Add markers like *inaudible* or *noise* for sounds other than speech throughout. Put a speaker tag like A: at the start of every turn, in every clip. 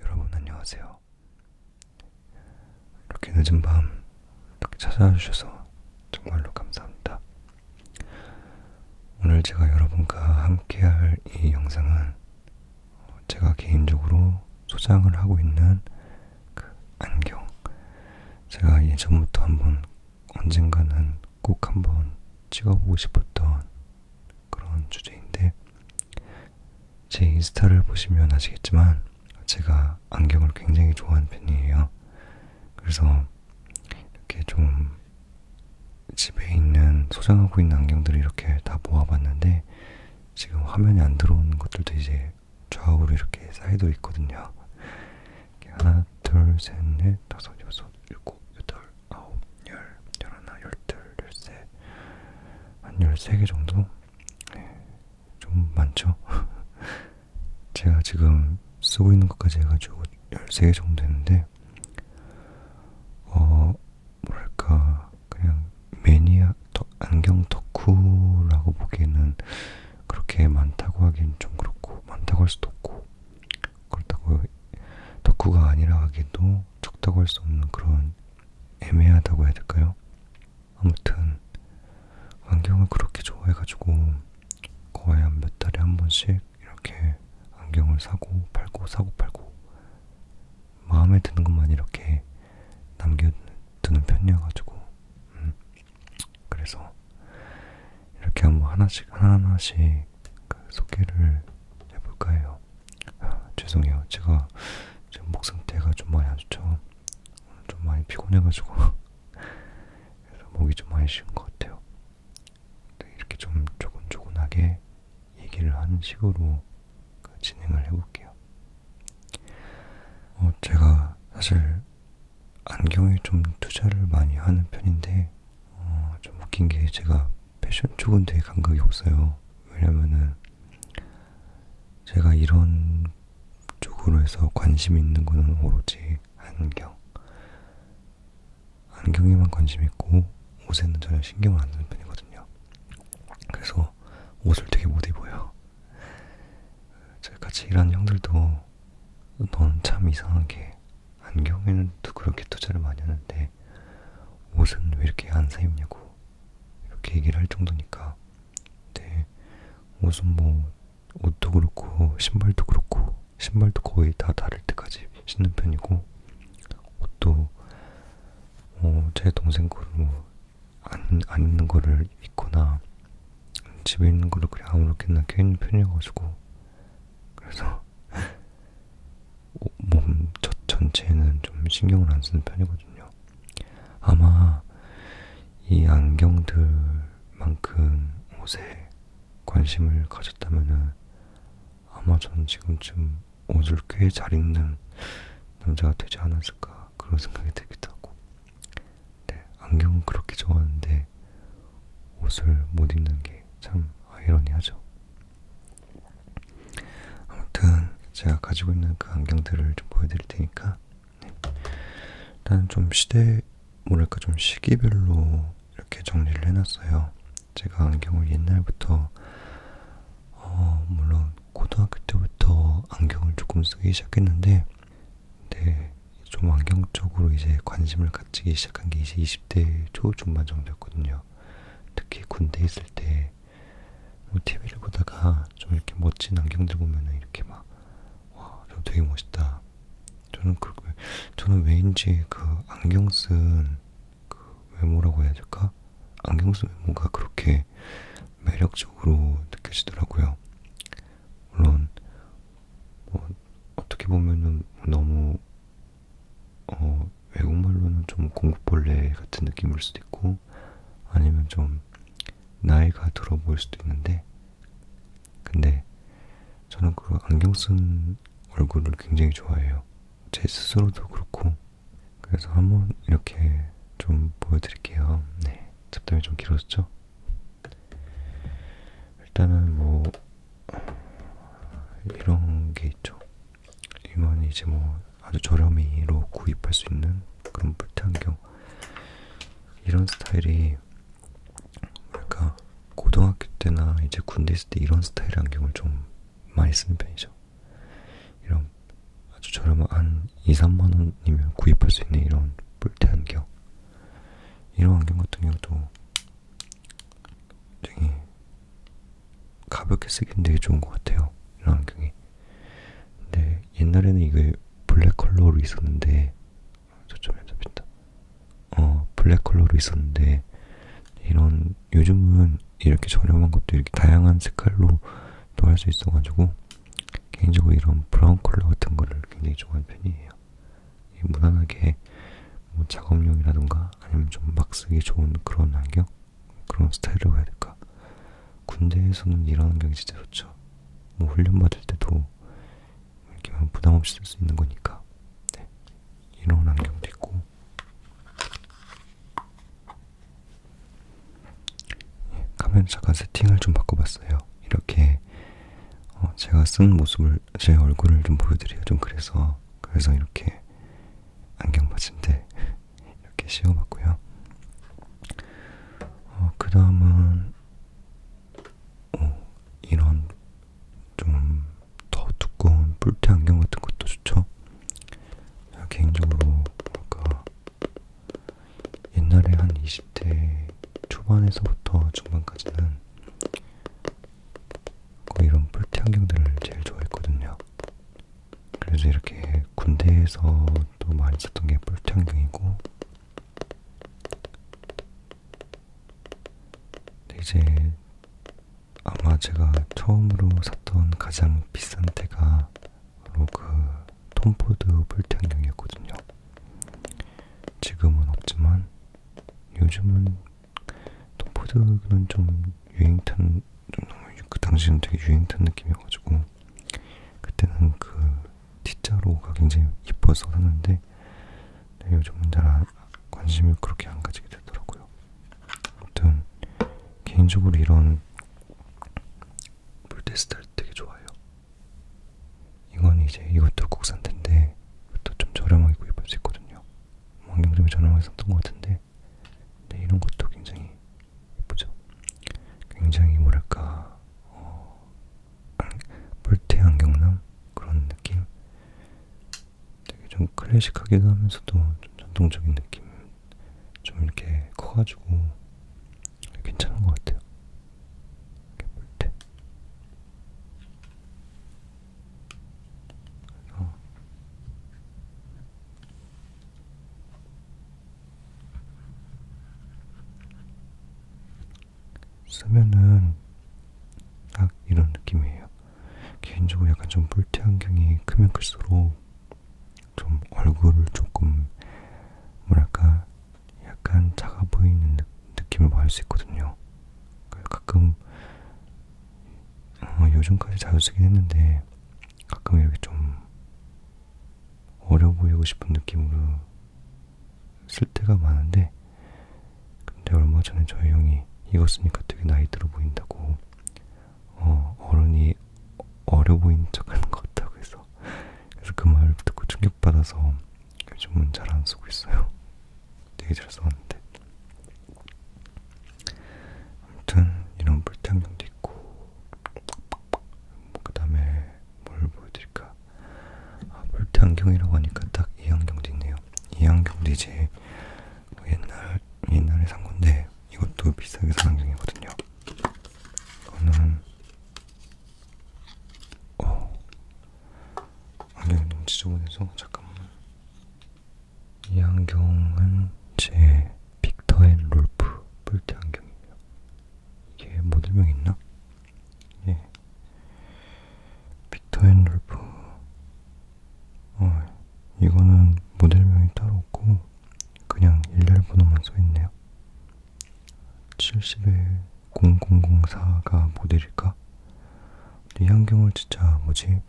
A: 여러분 안녕하세요. 이렇게 늦은 밤 이렇게 찾아와 주셔서 정말로 감사합니다. 오늘 제가 여러분과 함께할 이 영상은 제가 개인적으로 소장을 하고 있는 그 안경. 제가 예전부터 한번 언젠가는 꼭 한번 찍어보고 싶었던 그런 주제인데 제 인스타를 보시면 아시겠지만 제가 안경을 굉장히 좋아하는 편이에요. 그래서 이렇게 좀 집에 있는 소장하고 있는 안경들을 이렇게 다 모아봤는데 지금 화면에 안 들어오는 것들도 이제 좌우로 이렇게 쌓여져 있거든요. 이렇게 하나, 둘, 셋, 넷, 다섯, 여섯, 일곱, 여덟, 아홉, 열, 열하나, 열둘, 열세 한 열세 개 정도? 네, 좀 많죠? *laughs* 제가 지금 쓰고 있는 것까지 해가지고 열세 개 정도 했는데 어 뭐랄까 그냥 매니아 덕, 안경 덕후라고 보기에는 그렇게 많다고 하긴 좀 그렇고 많다고 할 수도 없고 그렇다고 덕후가 아니라 하기도 적다고 할 수 없는 그런 애매하다고 해야 될까요? 아무튼 안경을 그렇게 좋아해가지고 거의 한 몇 달에 한 번씩 이렇게 안경을 사고 팔고 사고 팔고 마음에 드는 것만 이렇게 남겨두는 편이어가지고 음. 그래서 이렇게 한 번 하나씩 하나하나씩 그 소개를 해볼까 해요. 아, 죄송해요. 제가 지금 목상태가 좀 많이 안 좋죠. 좀 많이 피곤해가지고 *laughs* 그래서 목이 좀 많이 쉬운 것 같아요. 네, 이렇게 좀 조곤조곤하게 얘기를 하는 식으로 그 진행을 해볼게요. 어, 제가 사실 안경에 좀 투자를 많이 하는 편인데 어, 좀 웃긴 게 제가 패션 쪽은 되게 감각이 없어요. 왜냐면은 제가 이런 쪽으로 해서 관심 있는 거는 오로지 안경. 안경에만 관심 있고 옷에는 전혀 신경을 안 쓰는 편이거든요. 그래서 옷을 되게 못 입어요. 저 같이 일하는 형들도 넌 참 이상하게 안경에는 또 그렇게 투자를 많이 하는데 옷은 왜 이렇게 안 사입냐고 이렇게 얘기를 할 정도니까. 네, 옷은 뭐 옷도 그렇고 신발도 그렇고 신발도 거의 다 다를 때까지 신는 편이고 옷도 어, 제 동생 거로 안, 안 입는 거를 입거나 집에 있는 거를 그냥 아무렇게나 껴입는 편이어가지고 그래서 몸 전체는 좀 신경을 안 쓰는 편이거든요. 아마 이 안경들만큼 옷에 관심을 가졌다면은 아마 저는 지금쯤 옷을 꽤 잘 입는 남자가 되지 않았을까 그런 생각이 들기도 하고 네, 안경은 그렇게 좋아하는데 옷을 못 입는 게 참 아이러니하죠. 아무튼 제가 가지고 있는 그 안경들을 좀 보여드릴 테니까 네. 일단 좀 시대 뭐랄까 좀 시기별로 이렇게 정리를 해놨어요. 제가 안경을 옛날부터 어 물론 고등학교 때부터 안경을 조금 쓰기 시작했는데 네, 좀 안경 쪽으로 이제 관심을 갖지기 시작한 게 이제 20대 초 중반 정도였거든요. 특히 군대 있을 때 있는데 뭐 TV를 보다가 좀 이렇게 멋진 안경들 보면은 이렇게 막 와, 저 되게 멋있다. 저는 그 저는 왜인지 그 안경 쓴그 외모라고 해야 될까? 안경 쓴 외모가 그렇게 매력적으로 느껴지더라고요. 물론 뭐 어떻게 보면은 너무 어, 외국말로는 좀 공부벌레 같은 느낌일 수도 있고 아니면 좀 나이가 들어 보일 수도 있는데 근데 저는 그 안경 쓴 얼굴을 굉장히 좋아해요. 제 스스로도 그렇고 그래서 한번 이렇게 좀 보여드릴게요. 네, 잡담이 좀 길었죠? 일단은 뭐 이런 게 있죠. 이건 이제 뭐 아주 저렴이로 구입할 수 있는 그런 물탄경 이런 스타일이 뭐랄까 고등학교 때나 이제 군대 있을 때 이런 스타일의 안경을 좀 많이 쓰는 편이죠. 이런 아주 저렴한 2, 3만 원이면 구입할 수 있는 이런 물태 안경. 이런 안경 같은 경우도 굉장히 가볍게 쓰기는 되게 좋은 것 같아요. 이런 안경이. 근데 옛날에는 이게 블랙 컬러로 있었는데 초점이 안 잡힌다. 어 블랙 컬러로 있었는데 이런 요즘은 이렇게 저렴한 것도 이렇게 다양한 색깔로 또 할 수 있어가지고 개인적으로 이런 브라운 컬러 같은 거를 굉장히 좋아하는 편이에요. 무난하게 뭐 작업용이라던가 아니면 좀 막 쓰기 좋은 그런 안경 그런 스타일이라고 해야 될까? 군대에서는 일하는 게 진짜 좋죠. 뭐 훈련 받을 때도 이렇게 부담 없이 쓸 수 있는 거니까. 네. 이런 안경도 있고. 예, 카메라 잠깐 세팅을 좀 바꿔봤어요. 이렇게 어, 제가 쓴 모습을, 제 얼굴을 좀 보여드려요. 좀 그래서. 그래서 이렇게 안경 받침대 이렇게 씌워봤고요. 어, 그 다음은 이런 좀 더 두꺼운 뿔테 안경 같은 것도 좋죠. 개인적으로 뭐랄까 옛날에 한 20대 초반에서부터 중반까지는 이런 뿔테 안경들을 제일 좋아했거든요. 그래서 이렇게 군대에서도 많이 썼던 게 뿔탄경이고 이제 아마 제가 처음으로 샀던 가장 비싼 때가 바로 그 톰포드 뿔탄경이었거든요. 지금은 없지만 요즘은 톰포드는 좀 유행 탄좀 너무 그 당시는 되게 유행 탄 느낌이어가지고 그때는 그 T자로가 굉장히 이뻐서 샀는데 네, 요즘은 잘 안, 관심을 그렇게 안 가지게 되더라고요. 아무튼 개인적으로 이런 물대 스타일 되게 좋아요. 이건 이제 이것도 국산텐데 이것도 좀 저렴하게 구입할 수 있거든요. 안경 때문에 저렴하게 샀던 것 같은데 네, 이런 것도 굉장히 예쁘죠. 굉장히 뭐랄까 어, 볼테안 경남 그런 느낌. 되게 좀 클래식하기도 하면서도 좀 전통적인 느낌. 좀 이렇게 커가지고 괜찮은 것 같아요. 이렇게 볼 때. 그래서 쓰면은 딱 이런 느낌이에요. 개인적으로 약간 좀 볼트안경이 크면 클수록 좀 얼굴을 조금 뭐랄까 약간 작아 보이는 느, 느낌을 받을 수 있거든요. 그 가끔 어, 요즘까지 자주 쓰긴 했는데 가끔 이렇게 좀 어려 보이고 싶은 느낌으로 쓸 때가 많은데 근데 얼마 전에 저희 형이 이거 쓰니까 되게 나이 들어 보인다고 어, 어른이 어려 보인 척하는 것 같다고 해서 그래서 그 말을 듣고 충격받아서 요즘은 잘 안 쓰고 있어요 되게 잘 써왔는데 아무튼 이런 불태양용도 있고 그 다음에 뭘 보여드릴까 아, 볼트 안경이라고 하니까 딱 이 안경도 있네요 이 안경도 이제 뭐 옛날, 옛날에 산 건데 이것도 비싸게 산 안경이거든요 이거는 어, 안경이 너무 지저분해서 잠깐만 이 안경은 제 빅터 앤 롤프 뿔테 안경이에요. 이게 모델명 뭐 있나? 예. 빅터 앤 롤프. 어, 이거는 모델명이 따로 없고, 그냥 일렬 번호만 써있네요. 70에 0004가 모델일까? 이 안경을 진짜 뭐지?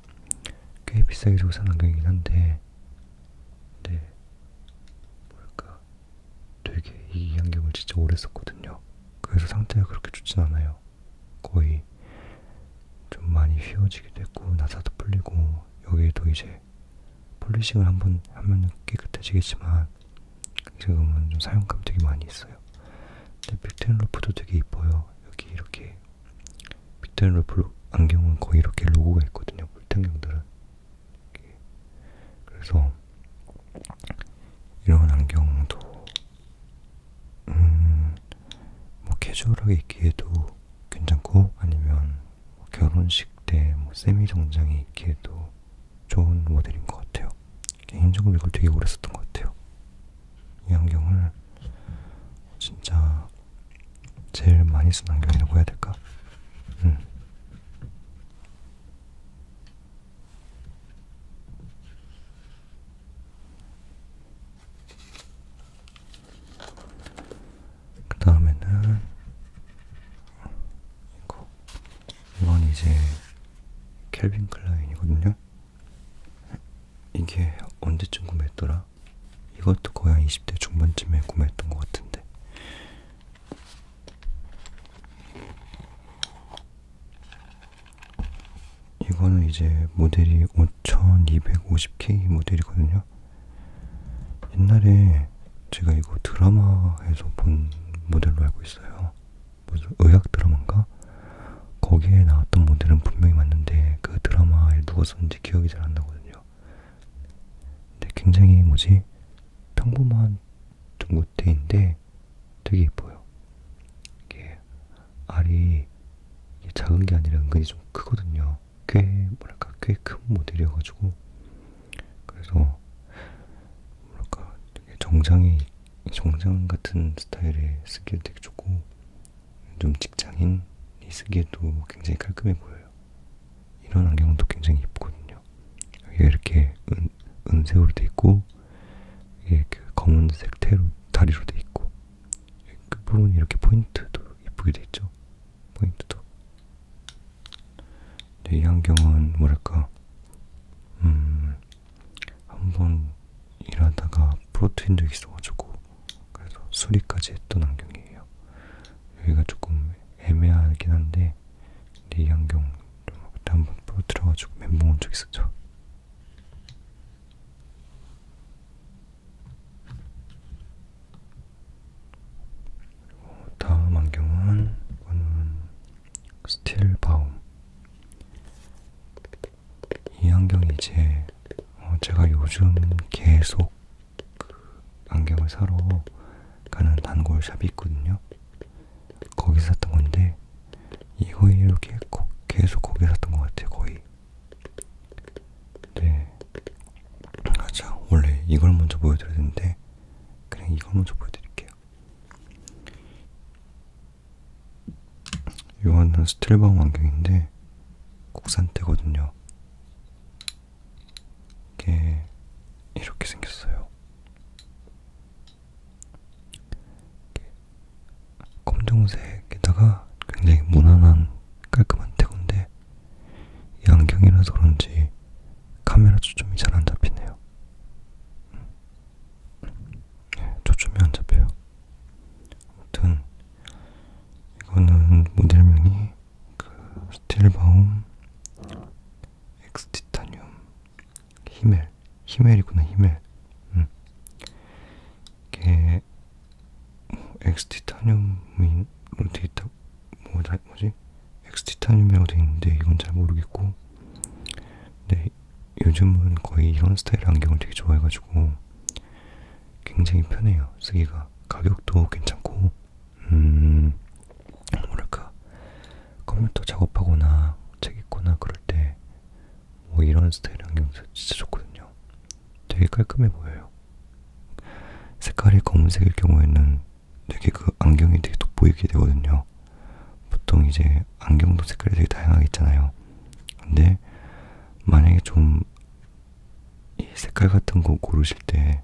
A: 꽤 비싸게 주고 산 안경이긴 한데, 네, 뭘까 되게 이 안경을 진짜 오래 썼거든요. 그래서 상태가 그렇게 좋진 않아요. 거의 좀 많이 휘어지기도 했고 나사도 풀리고 여기에도 이제 폴리싱을 한 번 하면 깨끗해지겠지만 지금은 좀 사용감 되게 많이 있어요. 근데 빅텐 루프도 되게 이뻐요. 여기 이렇게 이렇게 밑단 러플 안경은 거의 이렇게 로고가 있거든요. 볼탄경들은 그래서 이런 안경도 음, 뭐 캐주얼하게 입기에도 괜찮고 아니면 뭐 결혼식 때 뭐 세미 정장에 입기에도 좋은 모델인 것 같아요. 개인적으로 이걸 되게 오래 썼던 것 같아요. 이 안경을 진짜 제일 많이 쓴 안경이라고 해야 될까? 음. 그 다음에는 이거 이건 이제 캘빈 클라인이거든요. 이게 언제쯤 구매했더라? 아마 이것도 거의 한 20대 중반쯤에 구매했던 것 같은데 이거는 이제 모델이 5250K 모델이거든요. 옛날에 제가 이거 드라마에서 본 모델로 알고 있어요. 무슨 의학 드라마인가? 거기에 나왔던 모델은 분명히 맞는데 그 드라마에 누가 썼는지 기억이 잘 안 나거든요. 같아요. 근데 굉장히 뭐지 평범한 둥구대인데 되게 예뻐요. 이게 알이 이게 작은 게 아니라 은근히 좀 크거든요. 꽤 뭐랄까 꽤 큰 모델이어가지고 그래서 뭐랄까 되게 정장이 정장 같은 스타일에 쓰기에 되게 좋고 좀 직장인이 쓰기에도 굉장히 깔끔해 보여요. 이런 안경도 굉장히 예쁘거든요. 여기가 이렇게 은, 은색으로 돼 있고 이게 그 검은색 테로 다리로 돼 있고 끝부분이 그 이렇게 포인트도 예쁘게 돼 있죠. 포인트도. 근데 이 안경은 뭐랄까 음 한번 일하다가 부러뜨린 적이 있어가지고 그래서 수리까지 했던 안경이에요. 여기가 조금 애매하긴 한데 근데 이 안경 좀 그때 한번 부러뜨려가지고 멘붕 온 적 있었죠. 그리고 어, 다음 안경은 이거는 스틸 바움. 이 안경이 이제 어 제가 요즘 계속 안경을 사러 가는 단골샵이 있거든요. 거기서 샀던 건데 이거 이렇게 계속 거기 샀던 것 같아요. 거의. 네. 맞아. 원래 이걸 먼저 보여드려야 되는데 그냥 이걸 먼저 보여드릴게요. 이거는 스틸바움 안경인데 국산테거든요. 이게 이렇게 생겼어요. 이렇게 검정색에다가 굉장히 무난한 깔끔한 태고인데 이 안경이라서 그런지 카메라 초점이 잘 안 잡히네요. 음. 네, 초점이 안 잡혀요. 아무튼 이거는 모델명이 그 스틸바움, 엑스티타늄, 히멜, 히멜이구나 히멜. 음. 이게 뭐 엑스티타늄이 뭐 어떻게 있다? 뭐, 뭐지? 엑스티타늄이라고 돼 있는데 이건 잘 모르겠고. 근데 요즘은 거의 이런 스타일 안경을 되게 좋아해가지고 굉장히 편해요 쓰기가 가격도 괜찮고. 음, 뭐랄까 컴퓨터 작업하거나 책 읽거나 그럴 때 뭐 이런 스타일 안경 진짜 좋거든요. 되게 깔끔해 보여요. 색깔이 검은색일 경우에는 되게 그 안경이 되게 돋보이게 되거든요. 보통 이제 안경도 색깔이 되게 다양하게 있잖아요. 근데 만약에 좀 이 색깔 같은 거 고르실 때 있는데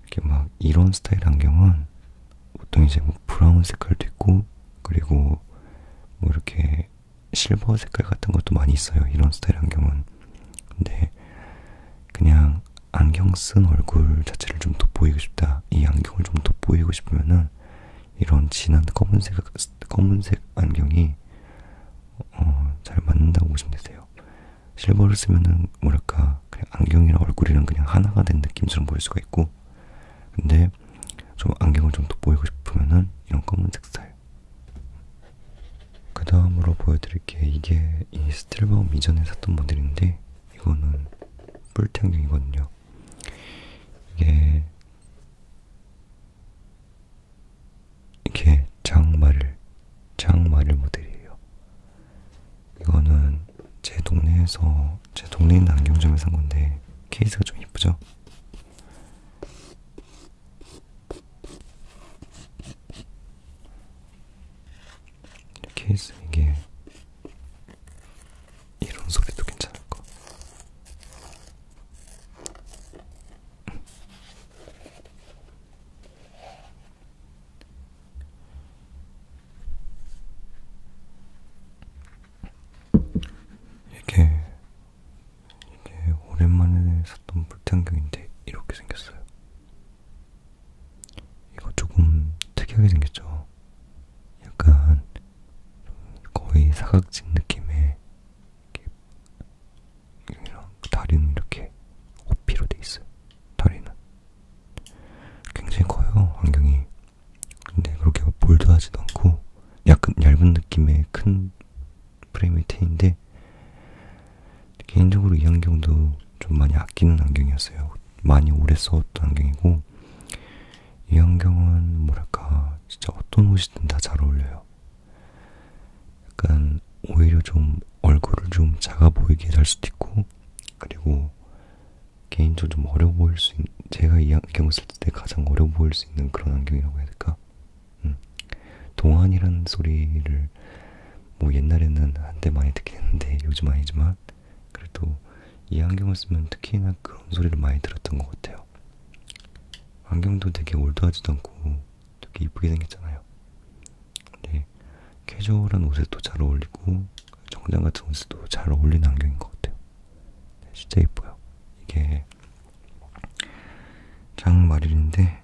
A: 이렇게 막 이런 스타일 안경은 보통 이제 뭐 브라운 색깔도 있고 그리고 뭐 이렇게 실버 색깔 같은 것도 많이 있어요. 이런 스타일 안경은. 근데 그냥 안경 쓴 얼굴 자체를 좀 돋보이고 싶다. 이 안경을 좀 돋보이고 싶으면은 이런 진한 검은색 검은색 안경이 어, 잘 맞는다고 보시면 되세요. 실버를 쓰면은 뭐랄까 그냥 안경이랑 얼굴이랑 그냥 하나가 된 느낌처럼 보일 수가 있고 근데 좀 안경을 좀 돋보이고 싶으면은 이런 검은색 스타일 그 다음으로 보여드릴 게 이게 이 스틸바움 이전에 샀던 모델인데 이거는 뿔테 안경이거든요 이게 이게 장마를 장마를 모델이에요. 이거는 제 동네에서 제 동네에 있는 안경점에서 산 건데 케이스가 좀 이쁘죠? 케이스 이게 이런 소리도 괜찮을 거. 이게 이게 오랜만에 샀던 불탄경인데 이렇게 생겼어요. 이거 조금 특이하게 생겼죠. 약간 거의 사각진 느낌의 이랑 다리는 이렇게 오피로 돼 있어요. 다리는 굉장히 커요. 안경이. 근데 그렇게 볼드하지도 않고 약간 얇은 느낌의 큰 프레임의 테인데 개인적으로 이 안경도 좀 많이 아끼는 안경이었어요. 많이 오래 써왔던 안경이고 이 안경은 뭐랄까 진짜 어떤 옷이든 다 잘 어울려요. 약간 오히려 좀 얼굴을 좀 작아 보이게 할 수도 있고 그리고 개인적으로 좀 어려 보일 수 있는 제가 이 안경을 쓸 때 가장 어려 보일 수 있는 그런 안경이라고 해야 될까? 음. 동안이라는 소리를 뭐 옛날에는 한때 많이 듣긴 했는데 요즘 아니지만 그래도 이 안경을 쓰면 특히나 그런 소리를 많이 들었던 것 같아요. 안경도 되게 올드하지도 않고 되게 이쁘게 생겼잖아요. 네, 캐주얼한 옷에도 잘 어울리고 정장 같은 옷에도 잘 어울리는 안경인 것 같아요. 네, 진짜 예뻐요. 이게 장마릴인데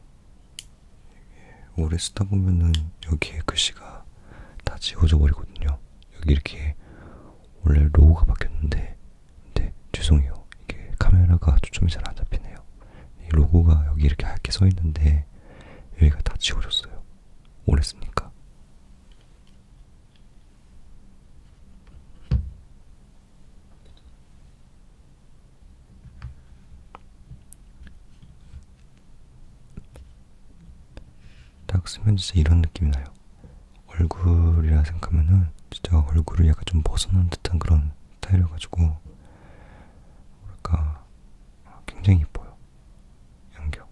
A: 오래 쓰다 보면은 여기에 글씨가 다 지워져 버리거든요. 여기 이렇게 원래 로고가 바뀌었는데, 근데 네, 죄송해요. 이게 카메라가 초점이 잘 안 잡히네요. 이 로고가 여기 이렇게 하얗게 써 있는데 여기가 다 지워졌어요. 오래 쓰니까. 딱 쓰면 진짜 이런 느낌이 나요. 얼굴이라 생각하면은 진짜 얼굴을 약간 좀 벗어난 듯한 그런 스타일이어가지고 뭐랄까 그러니까 굉장히 이뻐요. 양격.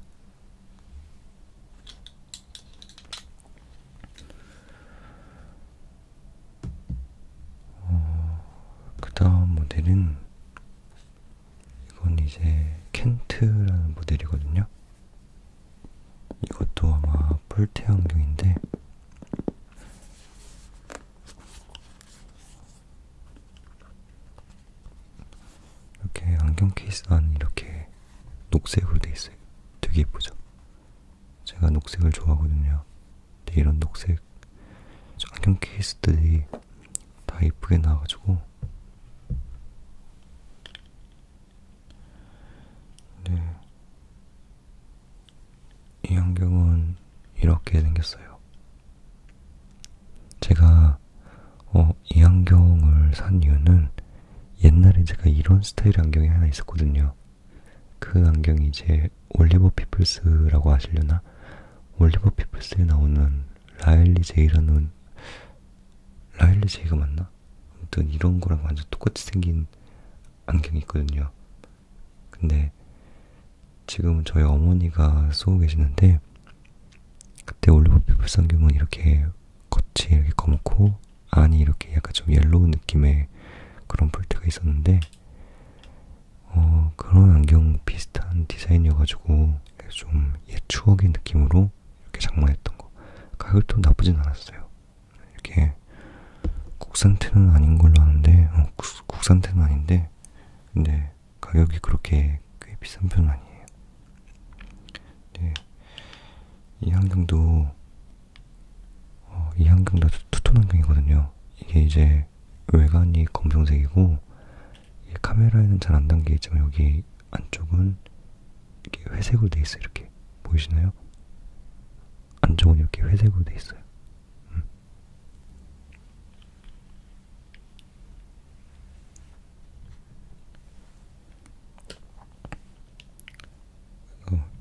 A: 어, 그 다음 모델은 이건 이제 켄트라는 모델이거든요. 이것도 아마 폴테 안경인데 이렇게 안경 케이스 안 이렇게 녹색으로 돼 있어요. 되게 예쁘죠? 제가 녹색을 좋아하거든요. 근데 이런 녹색 안경 케이스들이 다 예쁘게 나와가지고 네이 안경은 이렇게 생겼어요. 제가 어, 이 안경을 산 이유는 옛날에 제가 이런 스타일 안경이 하나 있었거든요. 그 안경이 이제 올리버 피플스라고 아시려나? 올리버 피플스에 나오는 라일리 제이라는 라일리 제이가 맞나? 아무튼 이런 거랑 완전 똑같이 생긴 안경이 있거든요. 근데 지금은 저희 어머니가 쏘고 계시는데 그때 올리브피 불상균은 이렇게 겉이 이렇게 검고 안이 이렇게 약간 좀 옐로우 느낌의 그런 폴트가 있었는데 어, 그런 안경 비슷한 디자인이어가지고 좀 옛 추억의 느낌으로 이렇게 장만했던 거 가격도 나쁘진 않았어요 이렇게 국산테는 아닌 걸로 아는데 어, 국산테는 아닌데 근데 가격이 그렇게 꽤 비싼 편은 아니에요. 네. 이 안경도 어, 이 안경도 투톤 안경이거든요. 이게 이제 외관이 검정색이고 카메라에는 잘 안 담겨 있지만 여기 안쪽은 이렇게 회색으로 돼 있어요. 이렇게 보이시나요? 안쪽은 이렇게 회색으로 돼 있어요. 음.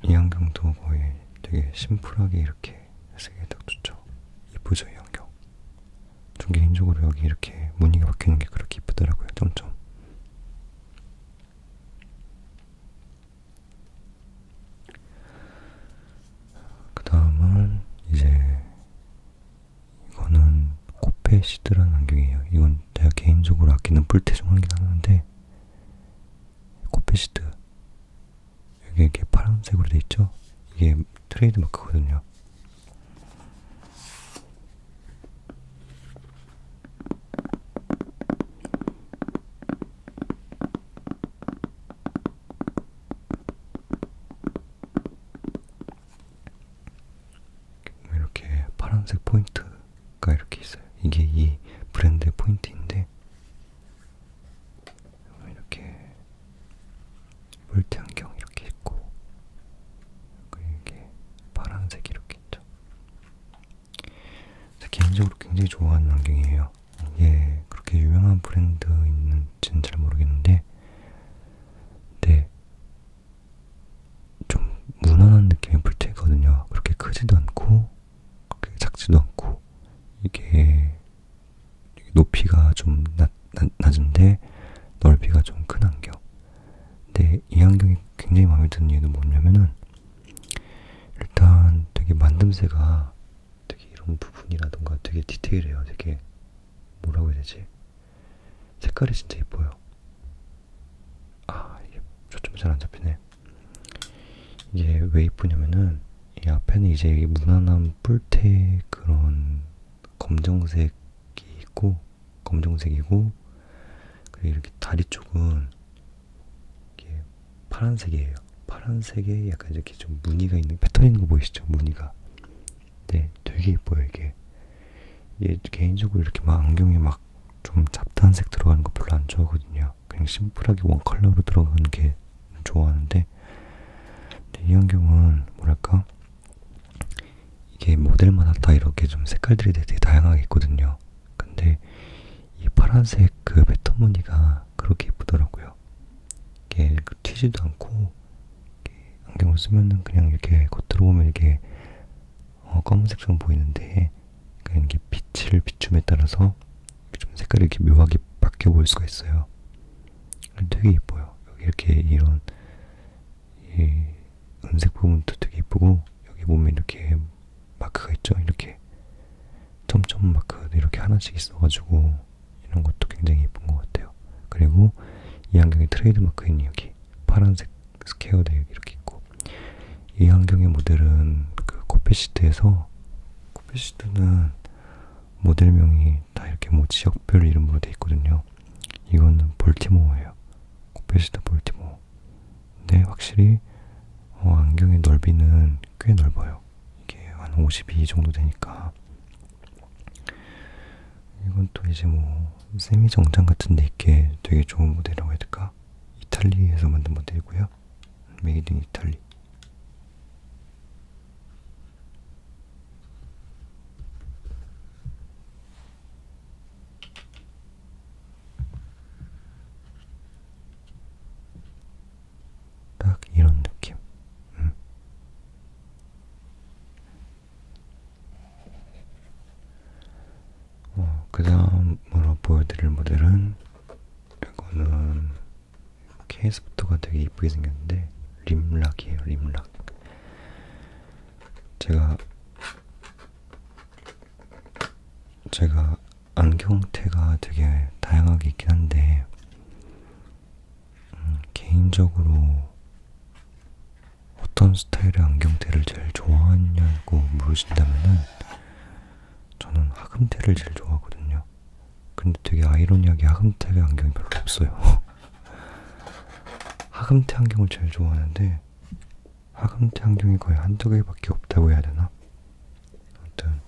A: 이안경도 어, 거의 되게 심플하게 이렇게 쓰기 딱 좋죠. 이쁘죠 이안경. 전 개인적으로 여기 이렇게 무늬가 박히는 게 그렇게 이쁘더라고요. 점점. 그 다음을 이제 이거는 코페 시드라는 안경이에요. 이건 내가 개인적으로 아끼는 뿔테 중 하긴 하는데 코페 시드 여기 이렇게 파란색으로 돼 있죠? 이게 트레이드 마크거든요. 뭐 이렇게 파란색 포인트가 이렇게 있어요. 이게 이 브랜드의 포인트인데 뭐 이렇게 물티안경 이렇게 있고 그리고 이게 파란색 이렇게 있죠. 개인적으로 굉장히 좋아하는 안경이에요. 예, 그렇게 유명한 브랜드인지는 잘 모르겠는데, 네, 좀 무난한 느낌의 풀체거든요. 그렇게 크지도 않고, 그렇게 작지도 않고, 이게 높이가 좀 낮, 낮, 낮은데 넓이가 좀 큰 안경. 근데 이 안경이 굉장히 마음에 드는 이유는 뭐냐면은 일단 되게 만듦새가 되게 이런 부분이라던가 되게 디테일해요. 되게 뭐라고 해야 되지? 색깔이 진짜 예뻐요. 아, 이게 초점이 잘 안 잡히네. 이게 왜 예쁘냐면은 이 앞에는 이제 무난한 뿔테 그런 검정색이 있고 검정색이고 그리고 이렇게 다리 쪽은 이게 파란색이에요. 거예요. 파란색에 약간 이렇게 좀 무늬가 있는 패턴인 거 보이시죠? 무늬가. 네, 되게 예뻐요 이게. 얘 개인적으로 이렇게 막 안경에 막 좀 잡다한색 들어가는 거 별로 안 좋아하거든요. 그냥 심플하게 원 컬러로 들어가는 게 좋아하는데 이 안경은 뭐랄까 이게 모델마다 다 이렇게 좀 색깔들이 되게 다양하게 있거든요. 근데 이 파란색 그 패턴 무늬가 그렇게 예쁘더라고요. 있어요. 이게 그 튀지도 않고 안경을 쓰면은 그냥 이렇게 겉으로 보면 이게 어, 검은색처럼 보이는데 그러니까 이게 빛을 비춤에 따라서 좀 색깔이 이렇게 묘하게 바뀌어 보일 수가 있어요. 되게 예뻐요. 여기 이렇게 이런 이 은색 부분도 되게 예쁘고 여기 보면 이렇게 마크가 있죠. 이렇게 점점 마크 이렇게 하나씩 있어가지고 이런 것도 굉장히 예쁜 것 같아요. 그리고 이 안경의 트레이드마크인 여기 파란색 스퀘어대 여기 이렇게 있고 이 안경의 모델은 그 코페시트에서 코페시트는 모델명이 다 이렇게 뭐 지역별 이름으로 돼 있거든요. 이거는 볼티모어예요. 코페시트 볼티모어. 근데 확실히 어, 안경의 넓이는 꽤 넓어요. 이게 한 52 정도 되니까 이건 또 이제 뭐 세미 정장 같은데 입게 되게 좋은 모델이라고 해야 될까? 이탈리에서 만든 모델이고요. 메이드 인 이탈리. 딱 이런 느낌. 음. 어, 그 다음으로 보여드릴 모델은 이거는 케이스부터가 되게 이쁘게 생겼는데 림락이에요, 림락. 제가 제가 안경테가 되게 다양하게 있긴 한데 개인적으로 어떤 스타일의 안경테를 제일 좋아하냐고 물으신다면은 저는 하금테를 제일 좋아하거든요. 근데 되게 아이러니하게 하금테의 안경이 별로 없어요. *laughs* 하금테 안경을 제일 좋아하는데 하금테 안경이 거의 한두 개밖에 없다고 해야 되나? 아무튼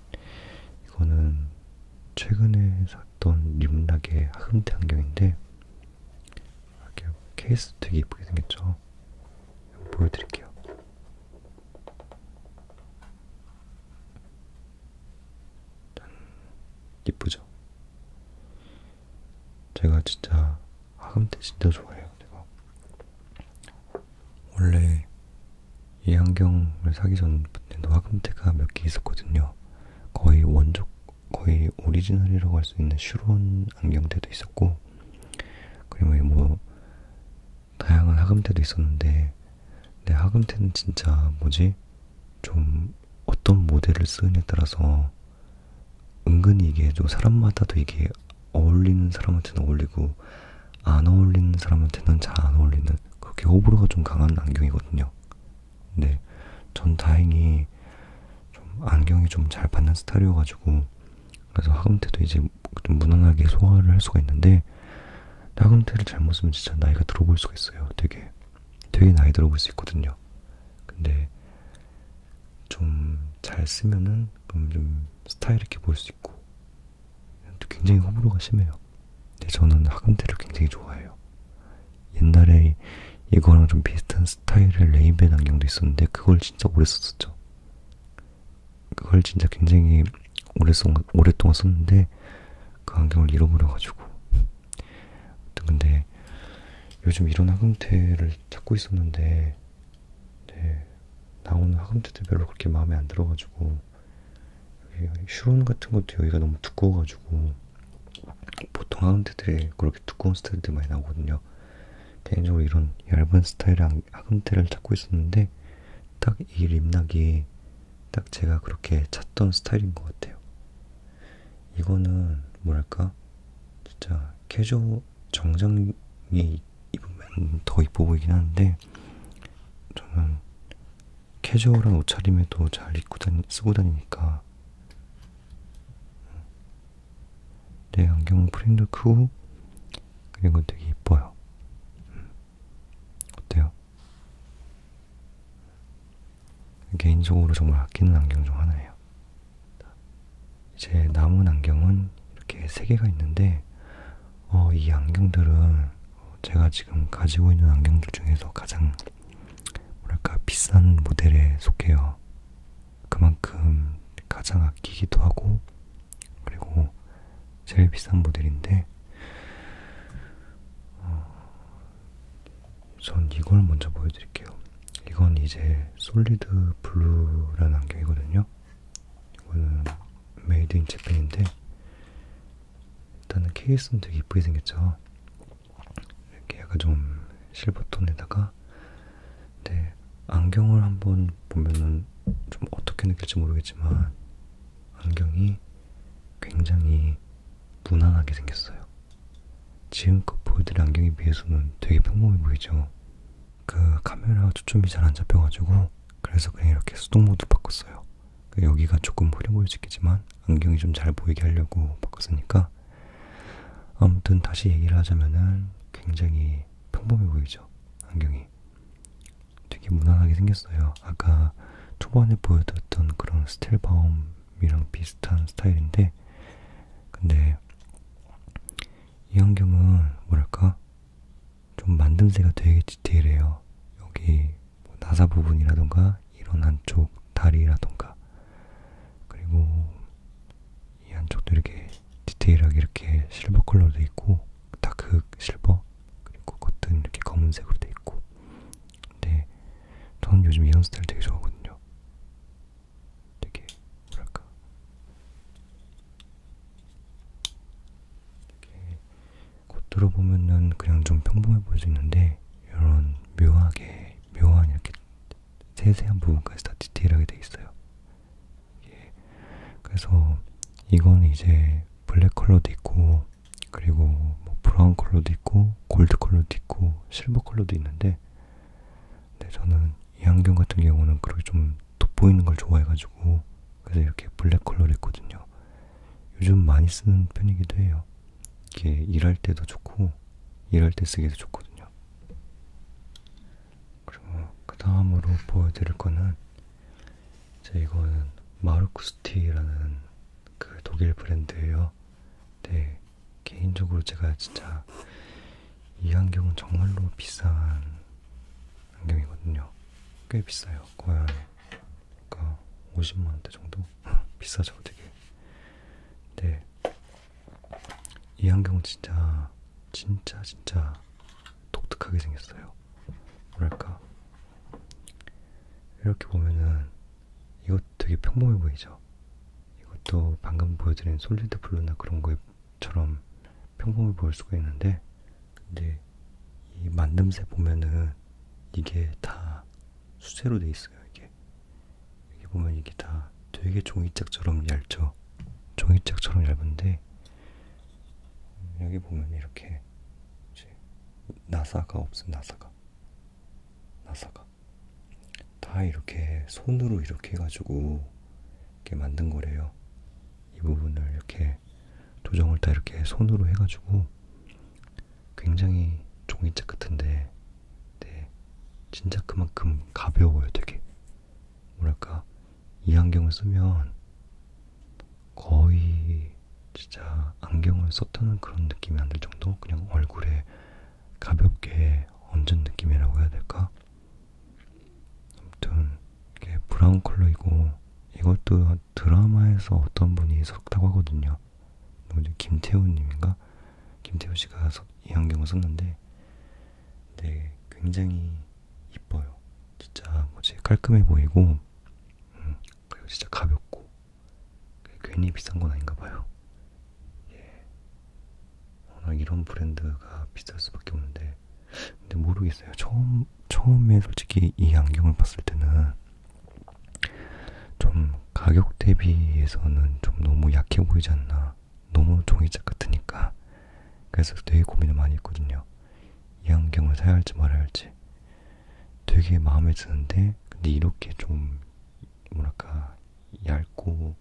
A: 이거는 최근에 샀던 림락의 하금대 안경인데 이렇게 케이스 되게 예쁘게 생겼죠? 보여드릴게요. 짠! 예쁘죠? 제가 진짜 하금대 아, 진짜 좋아해요. 제가 원래 이 안경을 사기 전부터 화금대가 몇 개 있었거든요. 거의 원조, 거의 오리지널이라고 할 수 있는 슈론 안경대도 있었고, 그리고 뭐, 다양한 화금대도 있었는데, 내 화금대는 진짜 뭐지? 좀 어떤 모델을 쓰느냐에 따라서 은근히 이게 좀 사람마다도 이게 어울리는 사람한테는 어울리고 안 어울리는 사람한테는 잘 안 어울리는 그렇게 호불호가 좀 강한 안경이거든요. 근데 네, 전 다행히 좀 안경이 좀 잘 받는 스타일이어가지고 그래서 학음테도 이제 좀 무난하게 소화를 할 수가 있는데 학음테를 잘못 쓰면 진짜 나이가 들어 보일 수가 있어요. 되게 되게 나이 들어 보일 수 있거든요. 근데 좀 잘 쓰면은 좀 스타일 있게 보일 수 있고 굉장히 호불호가 심해요. 근데 네, 저는 하감대를 굉장히 좋아해요. 옛날에 이거랑 좀 비슷한 스타일의 레인벤 안경도 있었는데 그걸 진짜 오래 썼었죠. 그걸 진짜 굉장히 오래 써, 오랫동안 썼는데 그 안경을 잃어버려가지고 근데 요즘 이런 하금테를 찾고 있었는데 네, 나오는 하금테도 별로 그렇게 마음에 안 들어가지고 예, 슈론 같은 것도 여기가 너무 두꺼워가지고 보통 하운드들이 그렇게 두꺼운 스타일들 많이 나오거든요. 개인적으로 이런 얇은 스타일의 하금대를 찾고 있었는데 딱 이 립락이 딱 제가 그렇게 찾던 스타일인 것 같아요. 이거는 뭐랄까 진짜 캐주얼 정장에 입으면 더 이뻐 보이긴 하는데 저는 캐주얼한 옷차림에도 잘 입고 다니, 쓰고 다니니까 내 안경 프레임도 크고 그리고 되게 이뻐요. 음. 어때요? 개인적으로 정말 아끼는 안경 중 하나예요. 이제 남은 안경은 이렇게 세 개가 있는데 어, 이 안경들은 어, 제가 지금 가지고 있는 안경들 중에서 가장 뭐랄까 비싼 모델에 속해요. 그만큼 가장 아끼기도 하고 그리고 제일 비싼 모델인데 어, 전 이걸 먼저 보여드릴게요. 이건 이제 솔리드 블루라는 안경이거든요. 이거는 메이드 인 재팬인데 일단은 케이스는 되게 이쁘게 생겼죠. 이렇게 약간 좀 실버톤에다가 근데 네, 안경을 한번 보면은 좀 어떻게 느낄지 모르겠지만 안경이 굉장히 무난하게 생겼어요. 지금껏 보여드린 안경에 비해서는 되게 평범해 보이죠. 그 카메라 초점이 잘 안 잡혀가지고 그래서 그냥 이렇게 수동 모드 바꿨어요. 그 여기가 조금 흐려 보일 수 있겠지만 안경이 좀 잘 보이게 하려고 바꿨으니까 아무튼 다시 얘기를 하자면은 굉장히 평범해 보이죠 안경이 되게 무난하게 생겼어요 아까 초반에 보여드렸던 그런 스틸바움이랑 비슷한 스타일인데 근데 이 안경은 뭐랄까 좀 만듦새가 되게 디테일해요 여기 뭐 나사 부분이라던가 이런 한쪽 다리라던가 그리고 이 한쪽도 이렇게 디테일하게 이렇게 실버 컬러로 돼 있고 다크 실버 그리고 겉은 이렇게 검은색으로 돼 있고 근데 저는 요즘 이런 스타일 되게 좋아하거든요 되게 뭐랄까 되게 겉으로 보면은 그냥 좀 평범해 보일 수 있는데 이런 묘하게 묘한 이렇게 세세한 부분까지 다 디테일하게 돼 있어요. 예. 그래서 이건 이제 블랙 컬러도 있고 그리고 뭐 브라운 컬러도 있고 골드 컬러도 있고 실버 컬러도 있는데 근데 저는 이 안경 같은 경우는 그렇게 좀 돋보이는 걸 좋아해가지고 그래서 이렇게 블랙 컬러를 했거든요. 요즘 많이 쓰는 편이기도 해요. 이게 일할 때도 좋고 일할 때 쓰기도 좋거든요. 그리고 그 다음으로 보여드릴 거는 제 이거는 마르쿠스티라는 그 독일 브랜드예요. 네, 개인적으로 제가 진짜 이 안경은 정말로 비싼 안경이거든요. 꽤 비싸요. 거의 그러니까 50만 원대 정도 *laughs* 비싸죠 되게. 근데 이 안경은 진짜 진짜 진짜 독특하게 생겼어요. 뭐랄까 이렇게 보면은 이것 되게 평범해 보이죠. 이것도 방금 보여드린 솔리드 블루나 그런 거처럼 평범해 보일 수가 있는데, 근데 이 만듦새 보면은 이게 다 수세로 돼 있어요. 이게 이렇게 보면 이게 다 되게 종이짝처럼 얇죠. 종이짝처럼 얇은데 여기 보면 이렇게 나사가 없어 나사가 나사가 다 이렇게 손으로 이렇게 해가지고 이렇게 만든 거래요. 이 부분을 이렇게 조정을 다 이렇게 손으로 해가지고 굉장히 종이책 같은데 네, 진짜 그만큼 가벼워요 되게 뭐랄까 이 안경을 쓰면 거의 진짜 안경을 썼다는 그런 느낌이 안 들 정도 그냥 얼굴에 가볍게 얹은 느낌이라고 해야 될까? 아무튼 이게 브라운 컬러이고 이것도 드라마에서 어떤 분이 썼다고 하거든요. 누구죠? 뭐 김태우님인가? 김태우 씨가 이 안경을 썼는데, 네, 굉장히 이뻐요. 진짜 뭐지 깔끔해 보이고, 음, 그리고 진짜 가볍고, 괜히 비싼 건 아닌가 봐요. 예, 워낙 이런 브랜드가 비쌀 수밖에 없는데, 근데 모르겠어요. 처음 처음에 솔직히 이 안경을 봤을 때는 좀 가격 대비에서는 좀 너무 약해 보이지 않나. 너무 종이짝 같으니까. 그래서 되게 고민을 많이 했거든요. 이 안경을 사야 할지 말아야 할지. 되게 마음에 드는데, 근데 이렇게 좀, 뭐랄까, 얇고,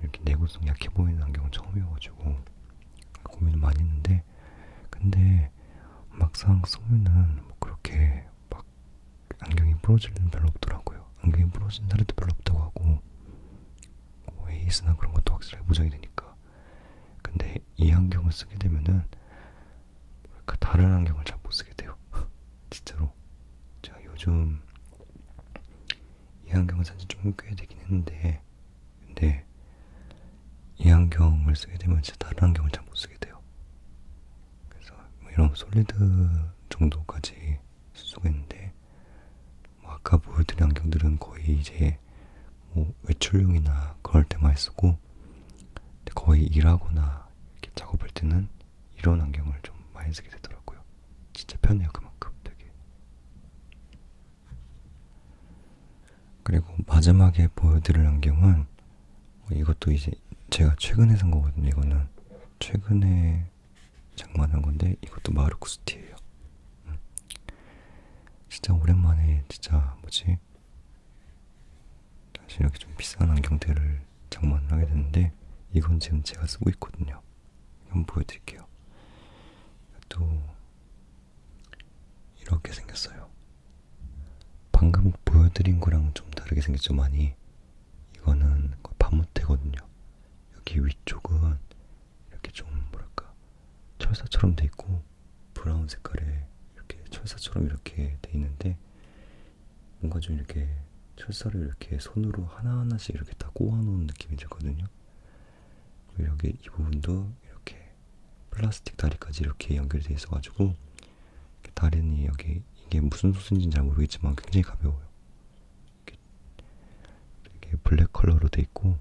A: 이렇게 내구성 약해 보이는 안경은 처음이어가지고, 고민을 많이 했는데, 근데 막상 쓰면은 뭐 그렇게 막 안경이 부러질 일은 별로 없더라고요. 안경이 부러진 사례도 별로 없다고 하고 뭐 에이스나 그런 것도 확실하게 보장이 되니까. 근데 이 안경을 쓰게 되면은 그러니까 다른 안경을 잘 못 쓰게 돼요. *laughs* 진짜로 제가 요즘 이 안경을 산지 좀꽤 되긴 했는데 근데 이 안경을 쓰게 되면 진짜 다른 안경을 잘 못 쓰게 돼요. 그래서 뭐 이런 솔리드 정도까지 쓸 수가 있는데 뭐 아까 보여드린 안경들은 거의 이제 뭐 외출용이나 그럴 때만 쓰고 거의 일하거나 이렇게 작업할 때는 이런 안경을 좀 많이 쓰게 되더라고요. 진짜 편해요 그만큼 되게. 그리고 마지막에 보여드릴 안경은 뭐 이것도 이제 제가 최근에 산 거거든요. 이거는 최근에 장만한 건데 이것도 마르쿠스티예요. 음. 진짜 오랜만에 진짜 뭐지? 다시 이렇게 좀 비싼 안경들을 장만을 하게 됐는데 이건 지금 제가 쓰고 있거든요. 한번 보여드릴게요. 또 이렇게 생겼어요. 방금 보여드린 거랑 좀 다르게 생겼죠 많이 이거는 거의 반무태거든요 여기 위쪽은 이렇게 좀 뭐랄까 철사처럼 돼 있고 브라운 색깔에 이렇게 철사처럼 이렇게 돼 있는데 뭔가 좀 이렇게 철사를 이렇게 손으로 하나하나씩 이렇게 다 꼬아놓은 느낌이 들거든요 그리고 여기 이 부분도 이렇게 플라스틱 다리까지 이렇게 연결돼 있어가지고 다른이 여기 이게 무슨 소스인지는 잘 모르겠지만 굉장히 가벼워요. 이렇게, 이렇게 블랙 컬러로 돼 있고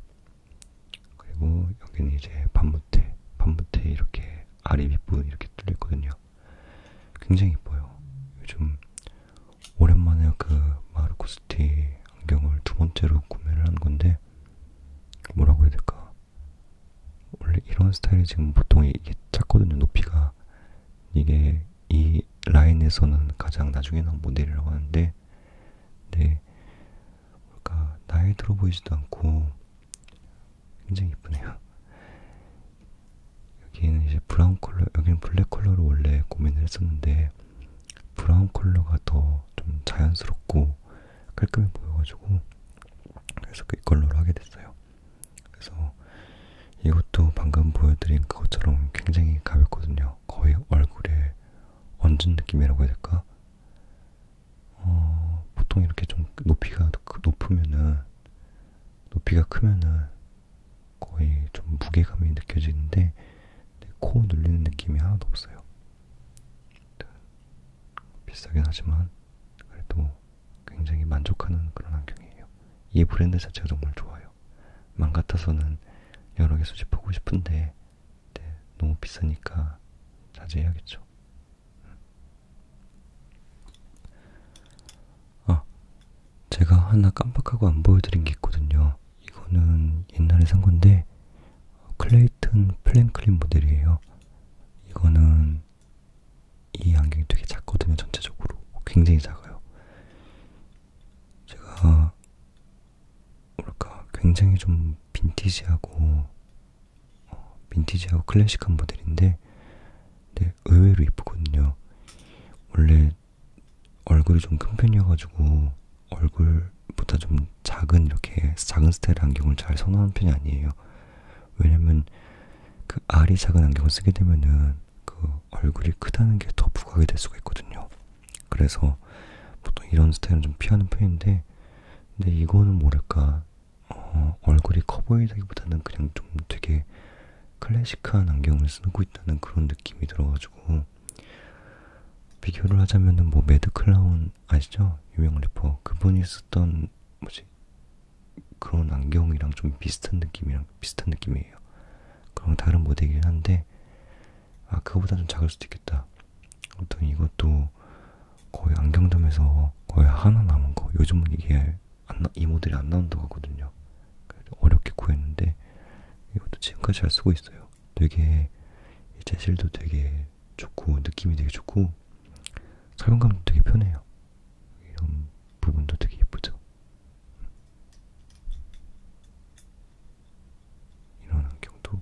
A: 그리고 여기는 이제 반무태, 반무태 이렇게 아래 윗부분 이렇게 뚫려 있거든요. 굉장히 예뻐요. 요즘 오랜만에 그 마르코스티 안경을 두 번째로 구매를 한 건데 뭐라고 해야 될까? 원래 이런 스타일이 지금 보통 이게 작거든요 높이가 이게 이 라인에서는 가장 나중에 나온 모델이라고 하는데 네 뭘까 나이 들어 보이지도 않고 굉장히 이쁘네요 여기는 이제 브라운 컬러 여기는 블랙 컬러로 원래 고민을 했었는데 브라운 컬러가 더 좀 자연스럽고 깔끔해 보여가지고 그래서 그 이걸로 하게 됐어요. 그래서 이것도 방금 보여드린 그것처럼 굉장히 가볍거든요. 거의 얼굴에 얹은 느낌이라고 해야 될까? 어, 보통 이렇게 좀 높이가 높으면은, 높이가 크면은 거의 좀 무게감이 느껴지는데, 코 눌리는 느낌이 하나도 없어요. 비싸긴 하지만, 그래도 굉장히 만족하는 그런 안경이에요. 이 브랜드 자체가 정말 좋아요. 맘 같아서는 여러 개 수집하고 싶은데 네, 너무 비싸니까 자제해야겠죠. 음. 아, 제가 하나 깜빡하고 안 보여드린 게 있거든요. 이거는 옛날에 산 건데 클레이튼 플랭클린 모델이에요. 이거는 이 안경이 되게 작거든요, 전체적으로. 굉장히 작아요. 제가, 뭐랄까, 굉장히 좀 빈티지하고, 어, 빈티지하고 클래식한 모델인데, 네, 의외로 이쁘거든요. 원래 얼굴이 좀 큰 편이어가지고, 얼굴보다 좀 작은, 이렇게 작은 스타일 안경을 잘 선호하는 편이 아니에요. 왜냐면 그 알이 작은 안경을 쓰게 되면은 그 얼굴이 크다는 게 더 부각이 될 수가 있거든요. 그래서 보통 이런 스타일은 좀 피하는 편인데 근데 이거는 뭐랄까 어, 얼굴이 커 보이다기보다는 그냥 좀 되게 클래식한 안경을 쓰고 있다는 그런 느낌이 들어가지고 비교를 하자면은 뭐 매드 클라운 아시죠? 유명 래퍼 그분이 썼던 뭐지 그런 안경이랑 좀 비슷한 느낌이랑 비슷한 느낌이에요. 그럼 다른 모델이긴 한데 아 그거보다 좀 작을 수도 있겠다. 아무튼 이것도 거의 안경점에서 거의 하나 남은 거. 요즘은 이게 안 나, 이 모델이 안 나온다고 하거든요. 어렵게 구했는데 이것도 지금까지 잘 쓰고 있어요. 되게 재질도 되게 좋고 느낌이 되게 좋고 사용감도 되게 편해요. 이런 부분도 되게 예쁘죠. 이런 환경도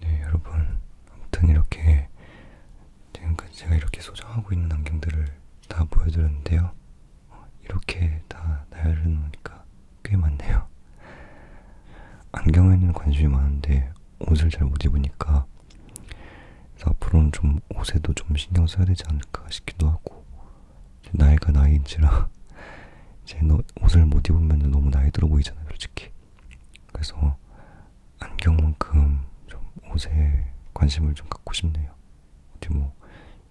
A: 네, 여러분, 아무튼 이렇게 지금까지 그러니까 제가 이렇게 소장하고 있는 안경들을 다 보여드렸는데요. 어, 이렇게 다 나열해 놓으니까 꽤 많네요. 안경에는 관심이 많은데 옷을 잘 못 입으니까 그래서 앞으로는 좀 옷에도 좀 신경 써야 되지 않을까 싶기도 하고 나이가 나이인지라 *laughs* 이제 옷을 못 입으면 너무 나이 들어 보이잖아요 솔직히 그래서 안경만큼 좀 옷에 관심을 좀 갖고 싶네요 어디 뭐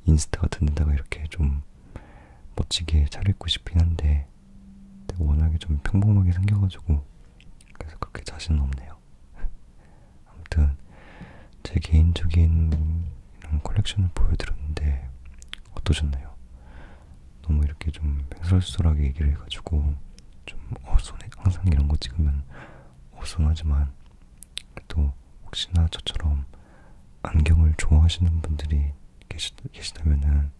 A: 인스타 같은 데다가 이렇게 좀 멋지게 차려입고 싶긴 한데 워낙에 좀 평범하게 생겨가지고 그래서 그렇게 자신은 없네요. *laughs* 아무튼 제 개인적인 이런 컬렉션을 보여드렸는데 어떠셨나요? 너무 이렇게 좀 횡설수설하게 얘기를 해가지고 좀 어, 손에 항상 이런 거 찍으면 우승하지만 또 혹시나 저처럼 안경을 좋아하시는 분들이 계시, 계시다면은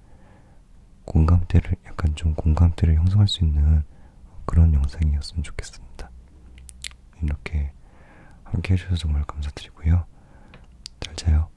A: 공감대를 약간 좀 공감대를 형성할 수 있는 그런 영상이었으면 좋겠습니다. 이렇게 함께 해주셔서 정말 감사드리고요. 잘 자요.